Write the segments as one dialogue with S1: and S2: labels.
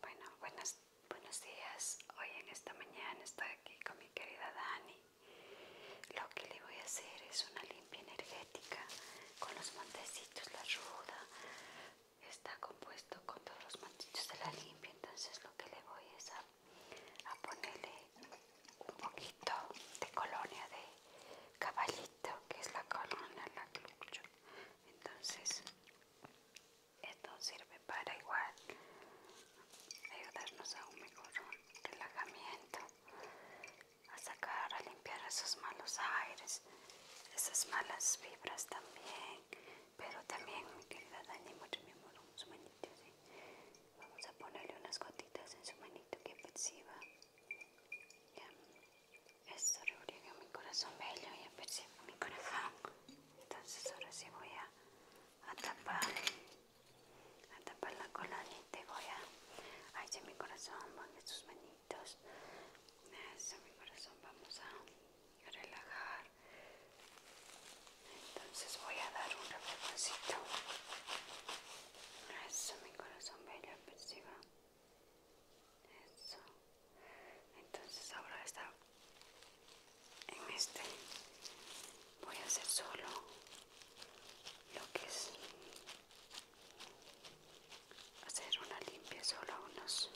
S1: Bueno, buenas, buenos días. Hoy en esta mañana estoy aquí con mi querida Dani. Lo que le voy a hacer es una limpia energética con los montecitos, la ruda. Está compuesto con todos los montecitos de la limpia, entonces lo que le voy a hacer a ponerle un poquito de colonia de caballito que es la colonia la que entonces esto sirve para igual ayudarnos a un mejor relajamiento a sacar a limpiar esos malos aires esas malas fibras también pero también mi querida Dani mucho mi amor Vamos a ponerle unas gotitas en su manito que perciba. esto Esto rebriega mi corazón bello, y percibo mi corazón. Entonces ahora sí voy a, tapar, a tapar la cola y voy a... Ay, mi corazón, ponle sus manitos. Eso, mi corazón, vamos a relajar entonces voy a dar un reflejoncito eso mi corazón bello perciba eso entonces ahora está en este voy a hacer solo lo que es hacer una limpia solo unos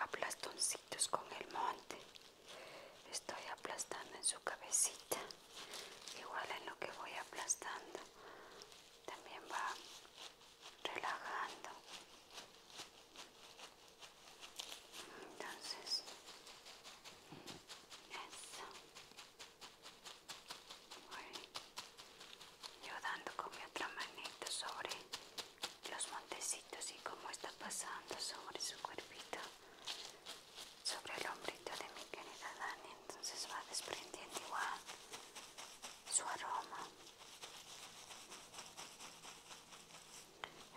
S1: aplastoncitos con el monte estoy aplastando en su cabecita igual en lo que voy aplastando también va relajando entonces eso voy dando con mi otra manito sobre los montecitos y cómo está pasando sobre su cuerpito sobre el hombrito de mi querida Dani, entonces va desprendiendo igual su aroma.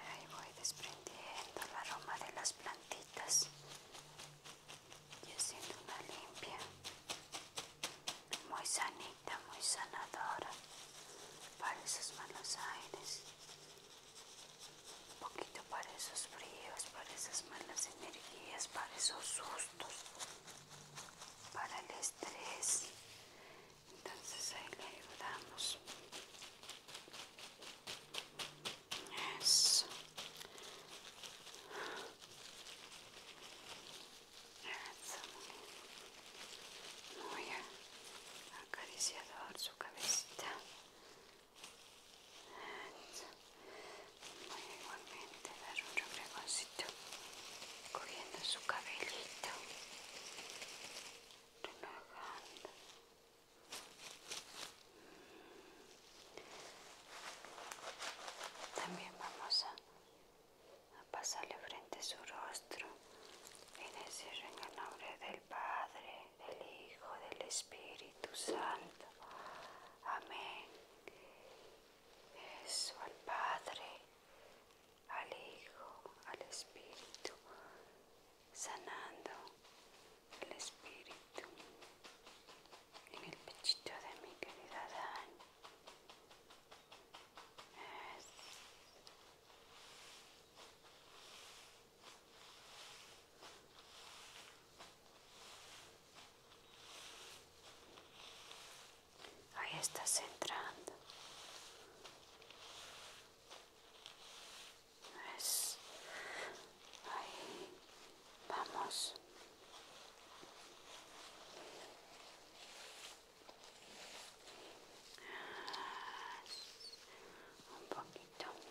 S1: Ahí voy desprendiendo el aroma de las plantitas y haciendo una limpia muy sanita, muy sanadora para esos malos aires un poquito para esos fríos, para esas malas energías, para esos sustos, para el estrés. Entonces ahí le ayudamos. Eso. Eso muy, acariciador su cabecita voy igualmente dar un reflejoncito cogiendo su cabellito relajando mm. también vamos a, pasarle frente a su rostro y decirle en el nombre del Padre del Hijo, del Espíritu Santo. Amén. Eso al Padre, al Hijo, al Espíritu, sanando el Espíritu en el pechito de mi querida Dani. Ahí estás entrando. ahí vamos. Un poquito.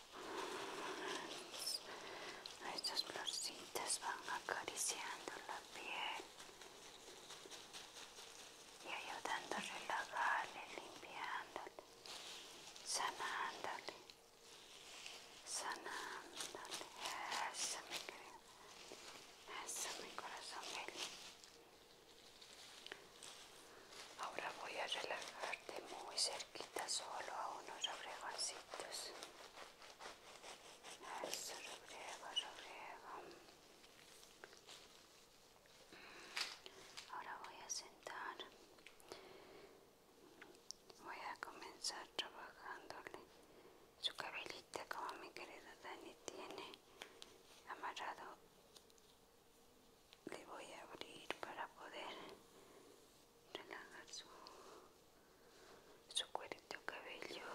S1: estas florcitas van acariciando la piel y ayudando a relajarle, limpiándole, sanándole, sanándole. Eso mi mi corazón Ahora voy a relajarte muy cerquita solo a unos reflejoncitos eso, lo buraya lo Ahora voy a sentar. Voy a comenzar trabajándole su cabellita como mi querida Dani tiene amarrado. Le voy a abrir para poder relajar su, su cuerito cabelludo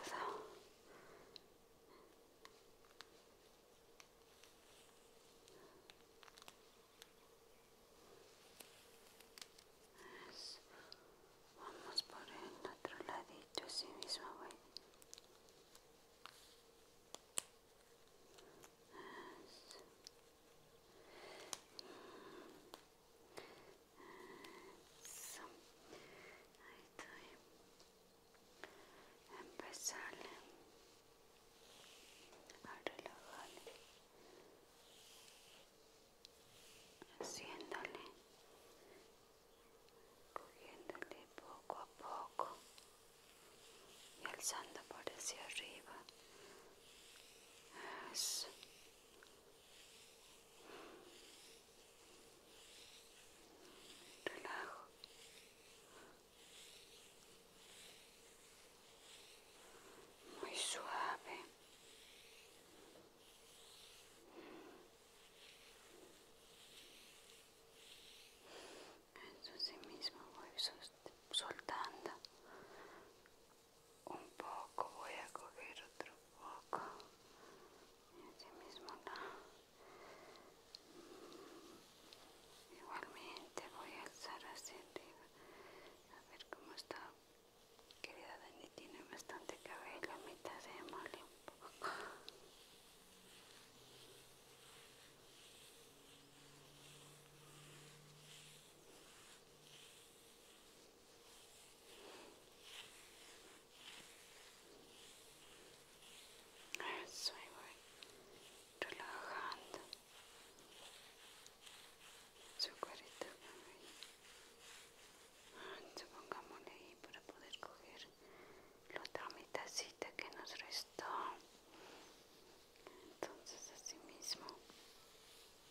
S1: vamos por el otro ladito así mismo voy eso. Ahí Empezarle a relajar haciéndole, cogiéndole poco a poco y alzando por hacia arriba. Eso. Relajo. Muy suave. Eso sí mismo voy soltando un poco, voy a coger otro poco y así mismo Igualmente voy a alzar hacia arriba a ver cómo está. Querida Dani tiene bastante cabello, a mitad se mole un poco. Eso ahí voy relajando su cuerito. pongámosle ahí para poder coger la otra mitacita que nos restó. Entonces así mismo Ahí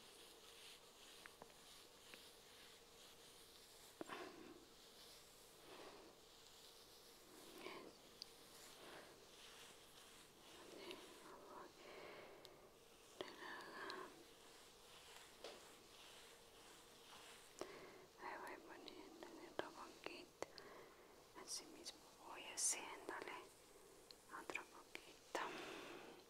S1: voy poniendo en otro poquito. Así mismo voy haciéndole otro poquito.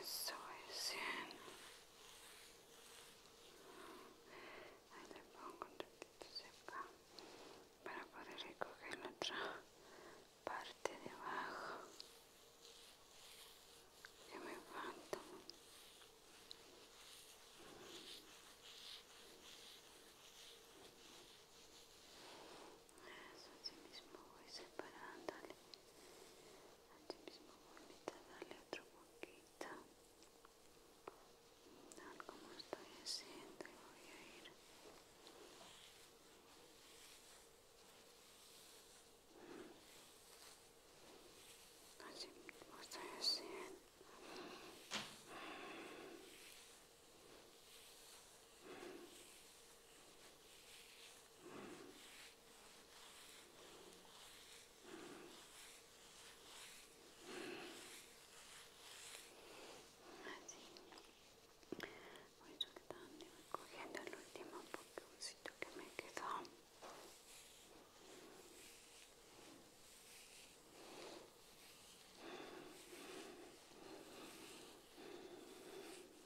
S1: Eso es Ahí le pongo un ratito acá para poder recoger la otra parte de abajo que me falta. Eso, así mismo voy separándole. Así mismo voy a dale otro poquito. Tal como estoy haciendo, voy a ir. Así mismo estoy haciendo. Así. Voy soltando cogiendo el último sitio que me quedó.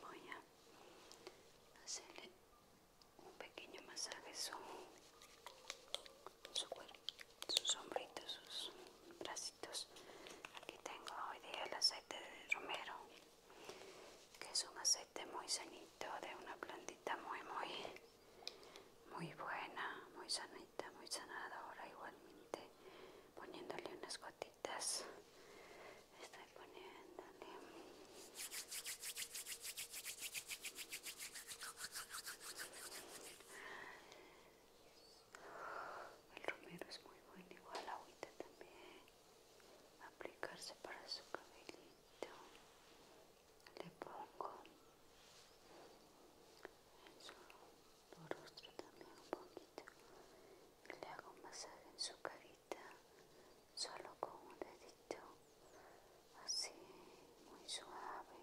S1: voy a hacerle un pequeño masaje su, su cuerpo, sus hombritos, sus bracitos. Aquí tengo hoy día el aceite de romero, que es un aceite muy sanito de una plantita muy, muy, muy buena, muy sanita, muy sanadora. Igualmente poniéndole unas gotitas estoy poniéndole el romero es muy bueno igual agüita también aplicarse para su cabellito le pongo en su rostro también un poquito le hago un masaje en su carita solo con un dedito así muy suave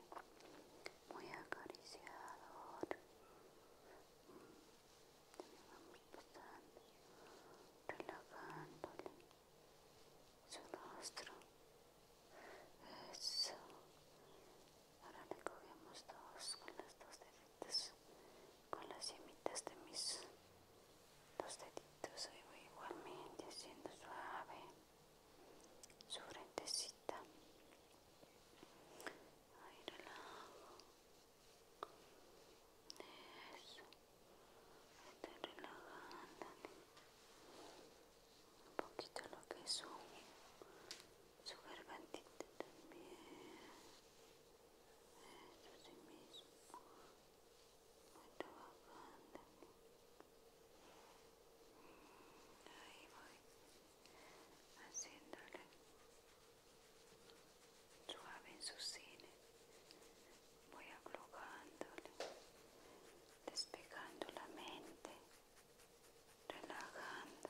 S1: muy acariciador también vamos relajándole su rostro eso ahora le cogemos dos con las dos deditos con las yemitas de mis dos deditos ahí voy igualmente haciendo suave su frentecita ahí relajo eso estoy relajando un poquito lo que es su, su también dentro mismo voy trabajando ahí voy haciéndole suave en sus cine voy aflojándole despegando la mente relajando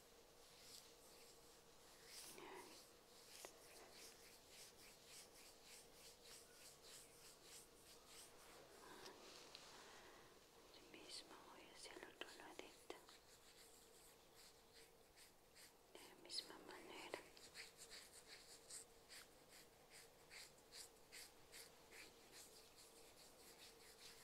S1: mismo voy hacia el otro lado, de la misma manera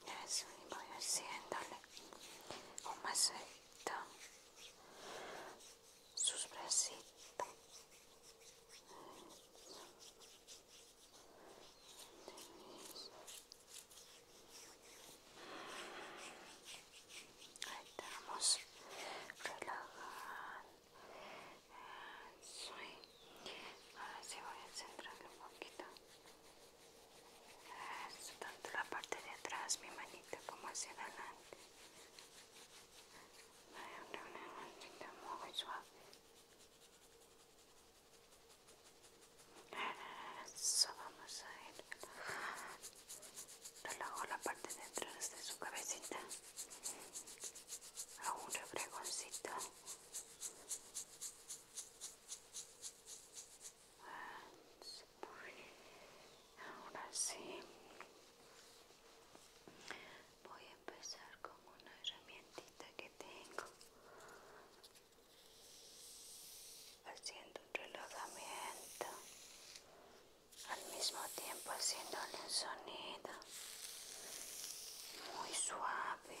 S1: me voy haciéndole un masajito sus bracitos Ahí estamos relajar Soy. Ahora sí voy a centrarle un poquito tanto la parte de atrás, mi manita, como hacia adelante. Una, una manita muy suave. Eso, vamos a ir. Relajo la parte de atrás de su cabecita. A un refregoncito. Ahora sí, voy a empezar con una herramientita que tengo, haciendo un relojamiento al mismo tiempo haciéndole un sonido muy suave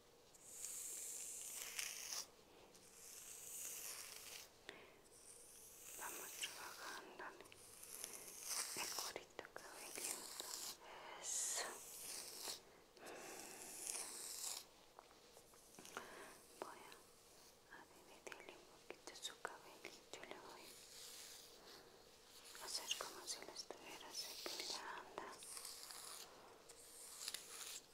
S1: Vamos trabajando el corito cabellito Voy a, dividirle un poquito su cabellito y le voy a hacer como si lo estuviera secundando.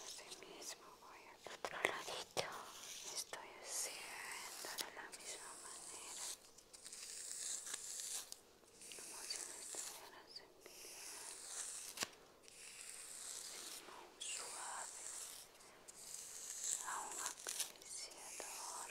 S1: Así mismo voy al otro Estoy haciendo de la misma manera. Como suave. acariciador.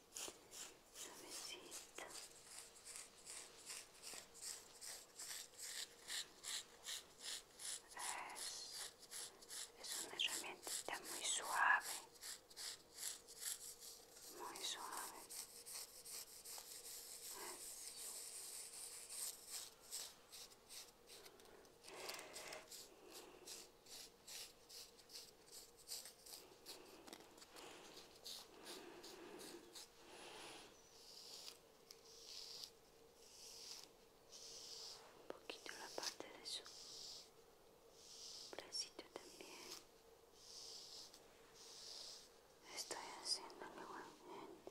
S1: Es, una herramienta muy suave, muy suave un poquito la parte de su bracito también estoy haciendo igualmente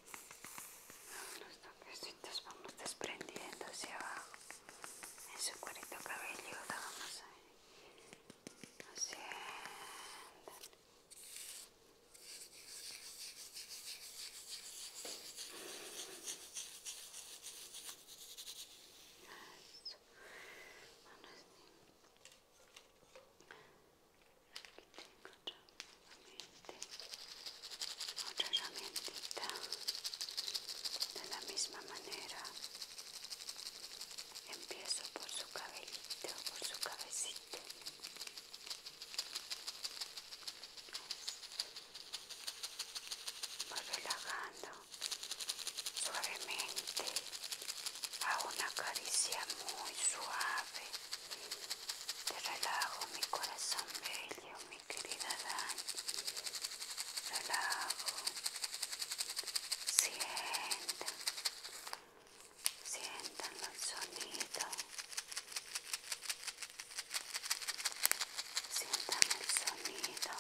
S1: Los toquecitos vamos desprendiendo hacia abajo en su cabello cabelludo. Vamos ir Así. Eso. Bueno, así. Aquí tengo este, otra herramientita de la misma manera empiezo por su cabellito por su cabecita voy relajando suavemente a una caricia muy suave te relajo mi corazón bello mi querida Dan, relajo, sientan, sienta el sonido, sienta el sonido,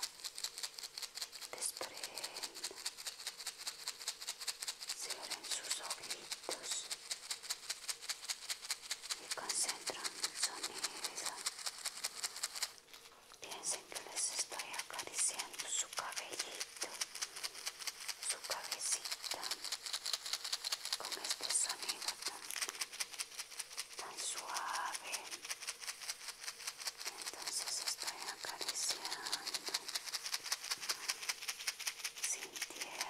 S1: desprenden, cierren sus ojitos y concentran sonido. Piensen que les estoy acariciando su cabellito, su cabecita, con este sonido tan, tan suave. Entonces estoy acariciando, sintiendo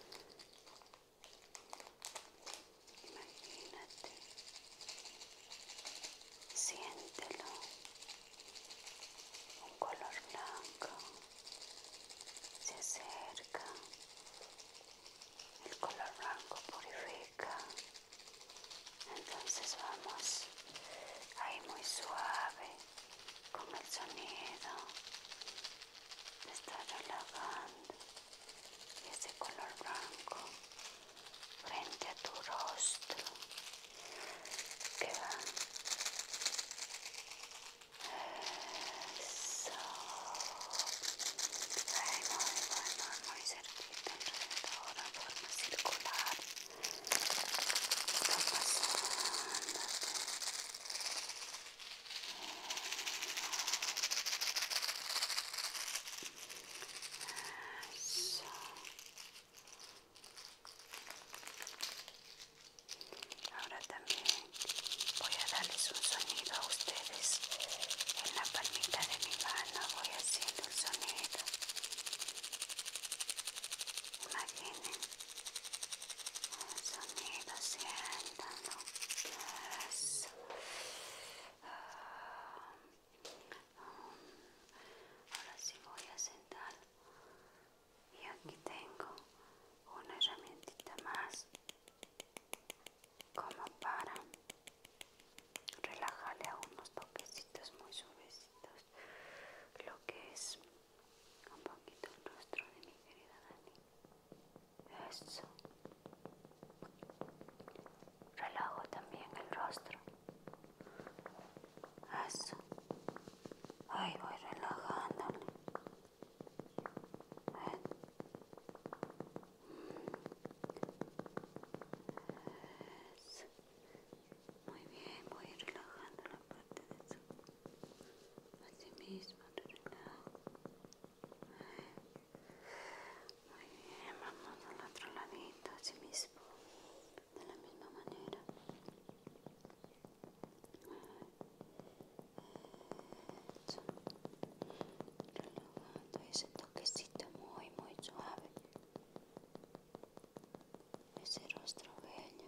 S1: Imagínate, siéntelo, un color blanco se acerca, el color blanco purifica, entonces vamos ahí muy suave con el sonido te está relajando ese color blanco frente a tu rostro que va eso muy bueno muy cerquita alrededor en forma circular está Ahora también voy a darles un sonido a ustedes en la palmita de mi mano. Voy haciendo un sonido. Imaginen sonido siéntalo ahora sí voy a sentar y aquí tengo una herramientita más como para relajarle a unos toquecitos muy suavecitos lo que es un poquito el rostro de mi querida Dani. Eso. Relajo también el rostro. Eso. Ahí voy relajándole. Eso. Muy bien, voy relajando la parte de su así mismo, relajas. Muy bien, vamos al otro ladito, mismo de la misma manera. Relajando ese toquecito muy, muy suave. Ese rostro bello.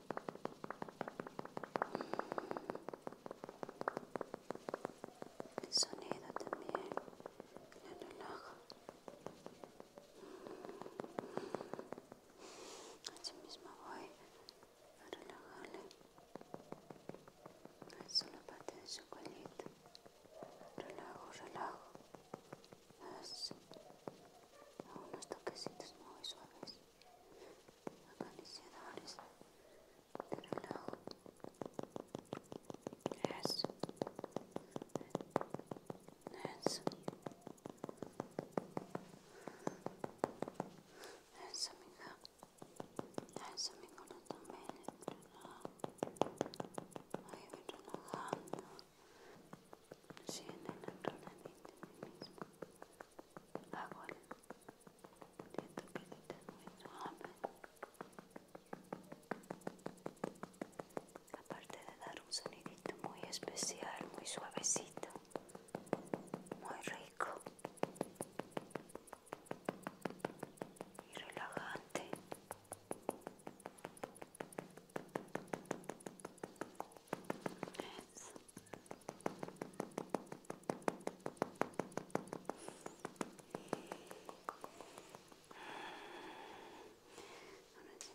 S1: El sonido también la relaja. Así mismo voy a relajarle solo parte de su colita. Relajo, relajo. Eso. A unos toquecitos muy suaves acariciadores de relajo. Eso. Eso. Eso, Eso, también. Ahí estoy relajando. Sí, en el otro de Aparte de dar un sonidito muy especial, muy suavecito, muy rico y relajante. Eso. Ahora sí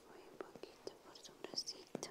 S1: voy un poquito por tu bracito.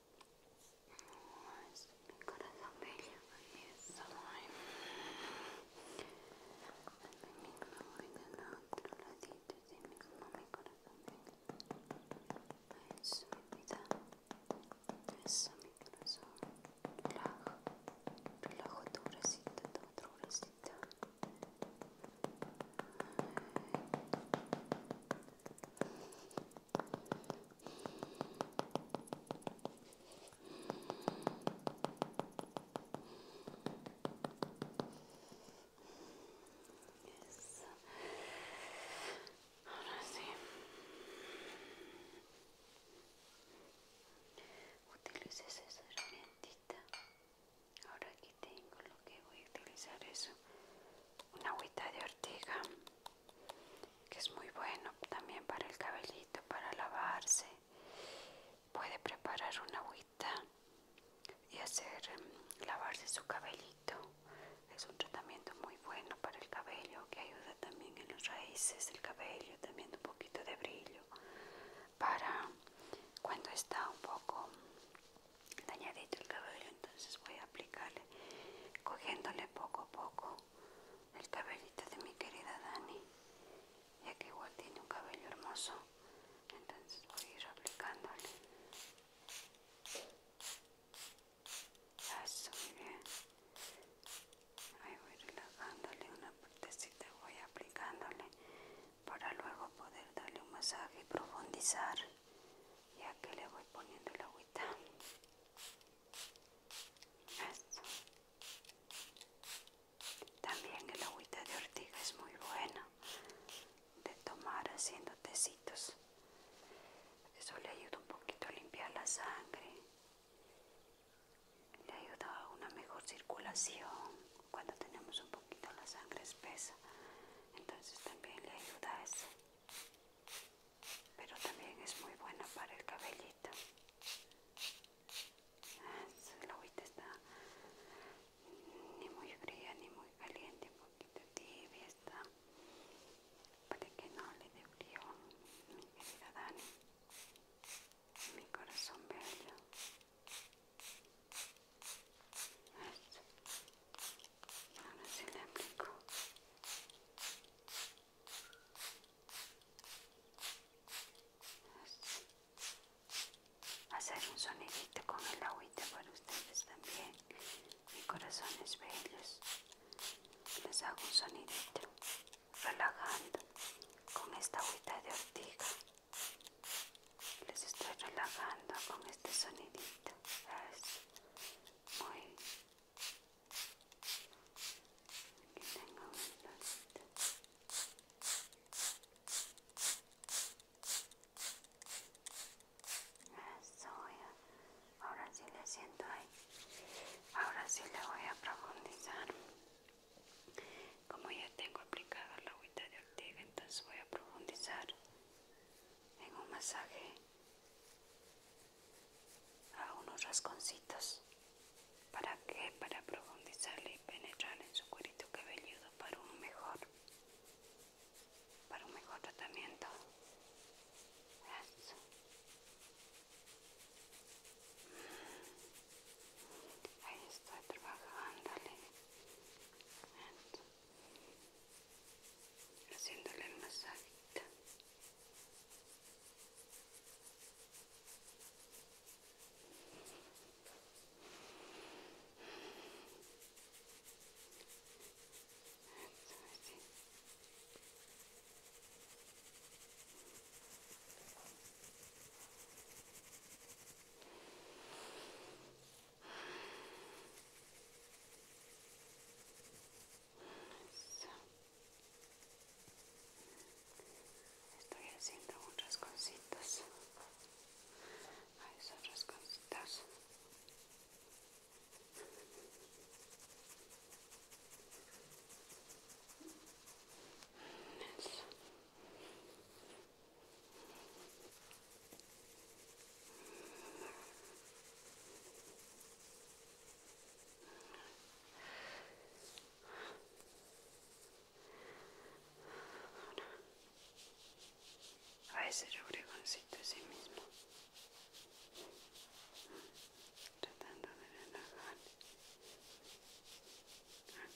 S1: mi corazón bello, mi mi otro ladito, mi corazón bello. Eso mi mi corazón. tu otro Ahora sí. Utilices esa herramientita. Ahora aquí tengo lo que voy a utilizar es una agüita de ortiga que es muy bueno también para el cabellito, para lavarse. Puede preparar una agüita y hacer em, lavarse su cabellito. Es un tratamiento muy bueno para el cabello que ayuda también en las raíces del cabello, también un poquito de brillo para cuando está un poco dañadito el cabello entonces voy a aplicarle cogiéndole poco a poco el cabellito de mi querida Dani ya que igual tiene un cabello hermoso entonces voy a ir aplicándole eso muy bien ahí voy relajándole una partecita voy aplicándole para luego poder darle un masaje y profundizar y aquí le voy poniendo el agüita también el agüita de ortiga es muy buena de tomar haciendo tecitos eso le ayuda un poquito a limpiar la sangre le ayuda a una mejor circulación cuando tenemos un poquito la sangre espesa entonces también le ayuda a eso pero también es muy buena para el cabellito. Ah, la agüita está ni muy fría ni muy caliente, un poquito tibia está para que no le dé frío mi querida Dani, mi corazón bello. Ah, Hacer un sonidito con el agüita para ustedes también. Mi corazón es bello Les hago un sonidito relajando con esta agüita de ortiga. Les estoy relajando con este sonidito. Es muy Aquí tengo ahora sí le siento ahí. Ahora sí le voy a profundizar. Como ya tengo aplicada la agüita de ortiga, entonces voy a profundizar en un masaje a unos rasconcitos. ¿Para que Para profundizarle y penetrar en su cuerito cabelludo para un mejor, para un mejor tratamiento. Mm. Ahí está trabajándole haciéndole el masajita Eso, así. Estoy haciendo un cositas, a esos cositas Eso. A veces yo bregoncito a ese mismo, tratando de relajar. Ah.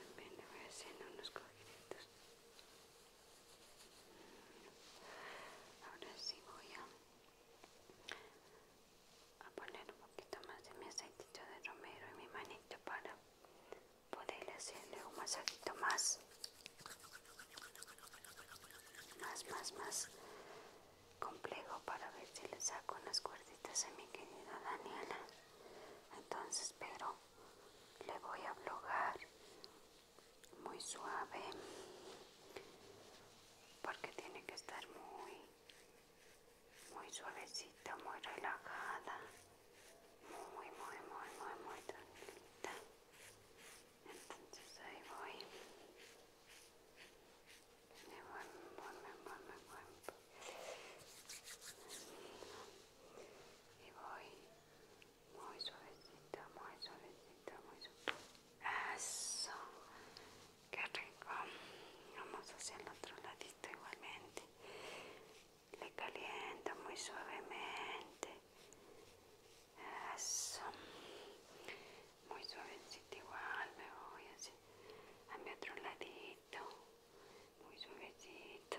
S1: También le voy a hacer unos cogiditos. Ahora sí voy a, poner un poquito más de mi aceitito de romero en mi manito para poder hacerle un masajito más. Más, más, más complejo para ver si le saco unas cuerdas a mi querida Daniela. Entonces, pero le voy a blogar muy suave porque tiene que estar muy, muy suavecita, muy relajada, muy, muy, muy, muy, muy tranquilita. Entonces ahí voy me Y voy muy suavecito muy suavecito muy suavecita. Eso, qué rico. Vamos hacia el otro ladito igualmente. Le caliento muy suavemente. Eso. Muy suavecito igual me voy así a mi otro ladito muy suavecito.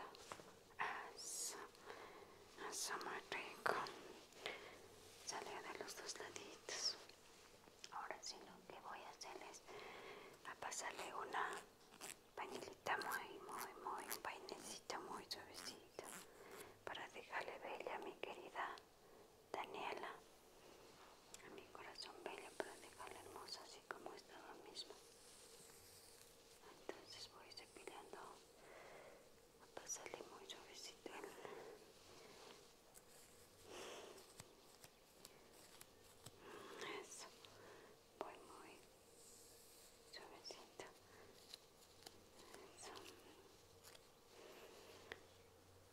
S1: asa asa muy rico. sale de los dos laditos. Ahora sí lo que voy a hacer es a pasarle una pañilita muy, muy, muy, pañecita muy suavecita para dejarle bella mi querida Daniela a mi corazón bello para dejarla hermosa así como está lo misma. Entonces voy cepillando a pasarle muy suavecito eso, voy muy suavecito, eso,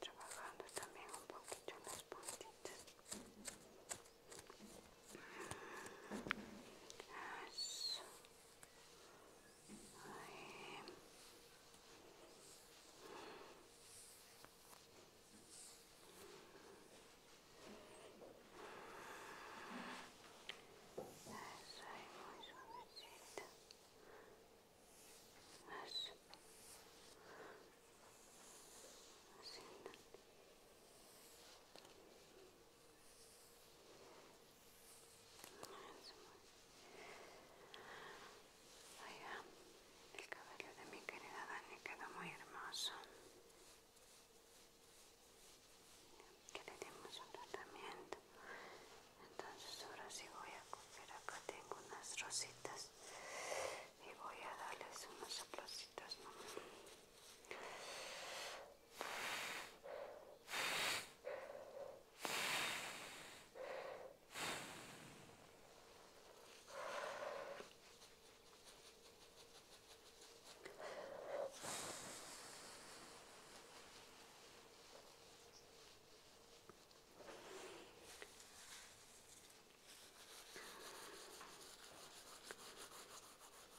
S1: trabajando también un poquito en las puntitas Eso. Ahí. Eso es muy suavecita. Así. Así. Eso. el cabello de mi querida Dani quedó muy hermoso. Que le dimos un tratamiento entonces ahora sí voy a coger acá tengo unas rositas y voy a darles unos soplocitos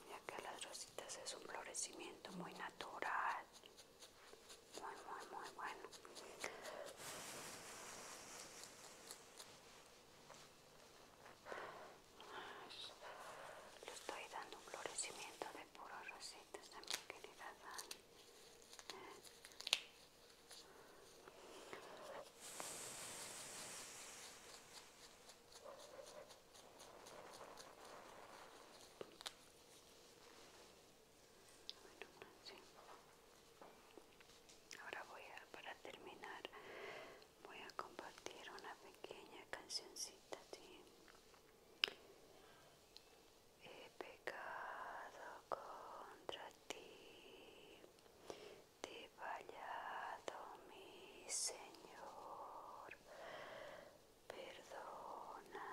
S1: ya que las rositas es un florecimiento muy natural muy muy muy bueno le estoy dando un florecimiento de puros rositas también mi querida Dani Ahora voy a, para terminar, voy a compartir una pequeña cancioncita, He pecado contra ti, te he fallado, mi Señor, perdóname,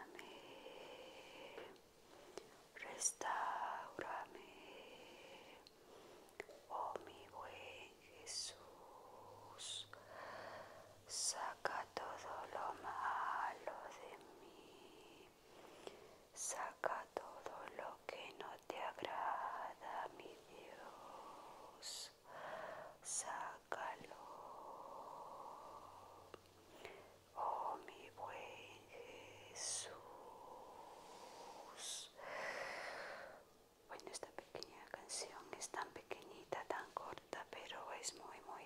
S1: restaurame, oh mi buen Jesús, saca todo lo malo de mí. Saca todo lo que no te agrada, mi Dios. Sácalo. Oh, mi buen Jesús. Bueno, esta pequeña canción es tan pequeñita, tan corta, pero es muy, muy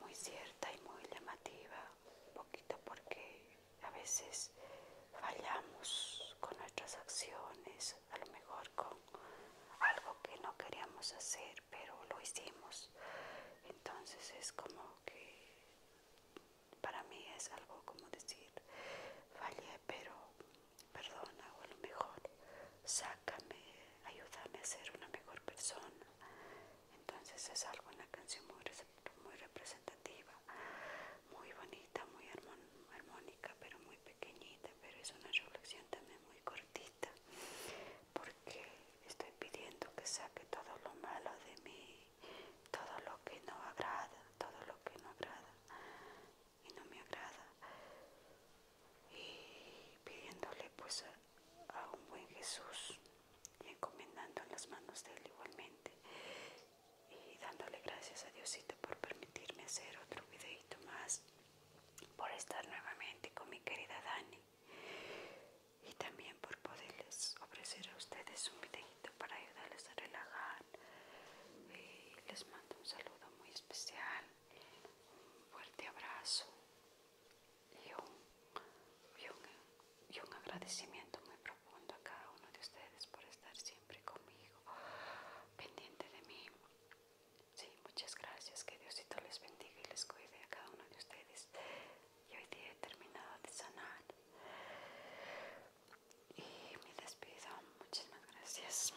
S1: muy cierta y muy llamativa, un poquito porque a veces fallamos con nuestras acciones, a lo mejor con algo que no queríamos hacer, pero lo hicimos. Entonces es como que para mí es algo como decir, fallé, pero perdona o a lo mejor sácame, ayúdame a ser una mejor persona. Entonces es algo, una canción muy, representativa, muy bonita, muy armónica, pero muy pequeñita, pero es una reflexión también muy cortita, porque estoy pidiendo que saque todo lo malo de mí, todo lo que no agrada, todo lo que no agrada y no me agrada, y pidiéndole pues a un buen Jesús y encomendando las manos de Él igualmente y dándole gracias a Diosito por permitirme hacer otro videito más, por estar nuevamente con mi querida Dani y también por poderles ofrecer a ustedes un videito para ayudarles a relajar. Y les mando un saludo muy especial, un fuerte abrazo y un, un, agradecimiento muy profundo a cada uno de ustedes por estar siempre conmigo, pendiente de mí. Sí, muchas gracias, que Diosito les bendiga y les cuide a cada uno de ustedes. Y hoy día he terminado de sanar. Y me despido, muchísimas gracias.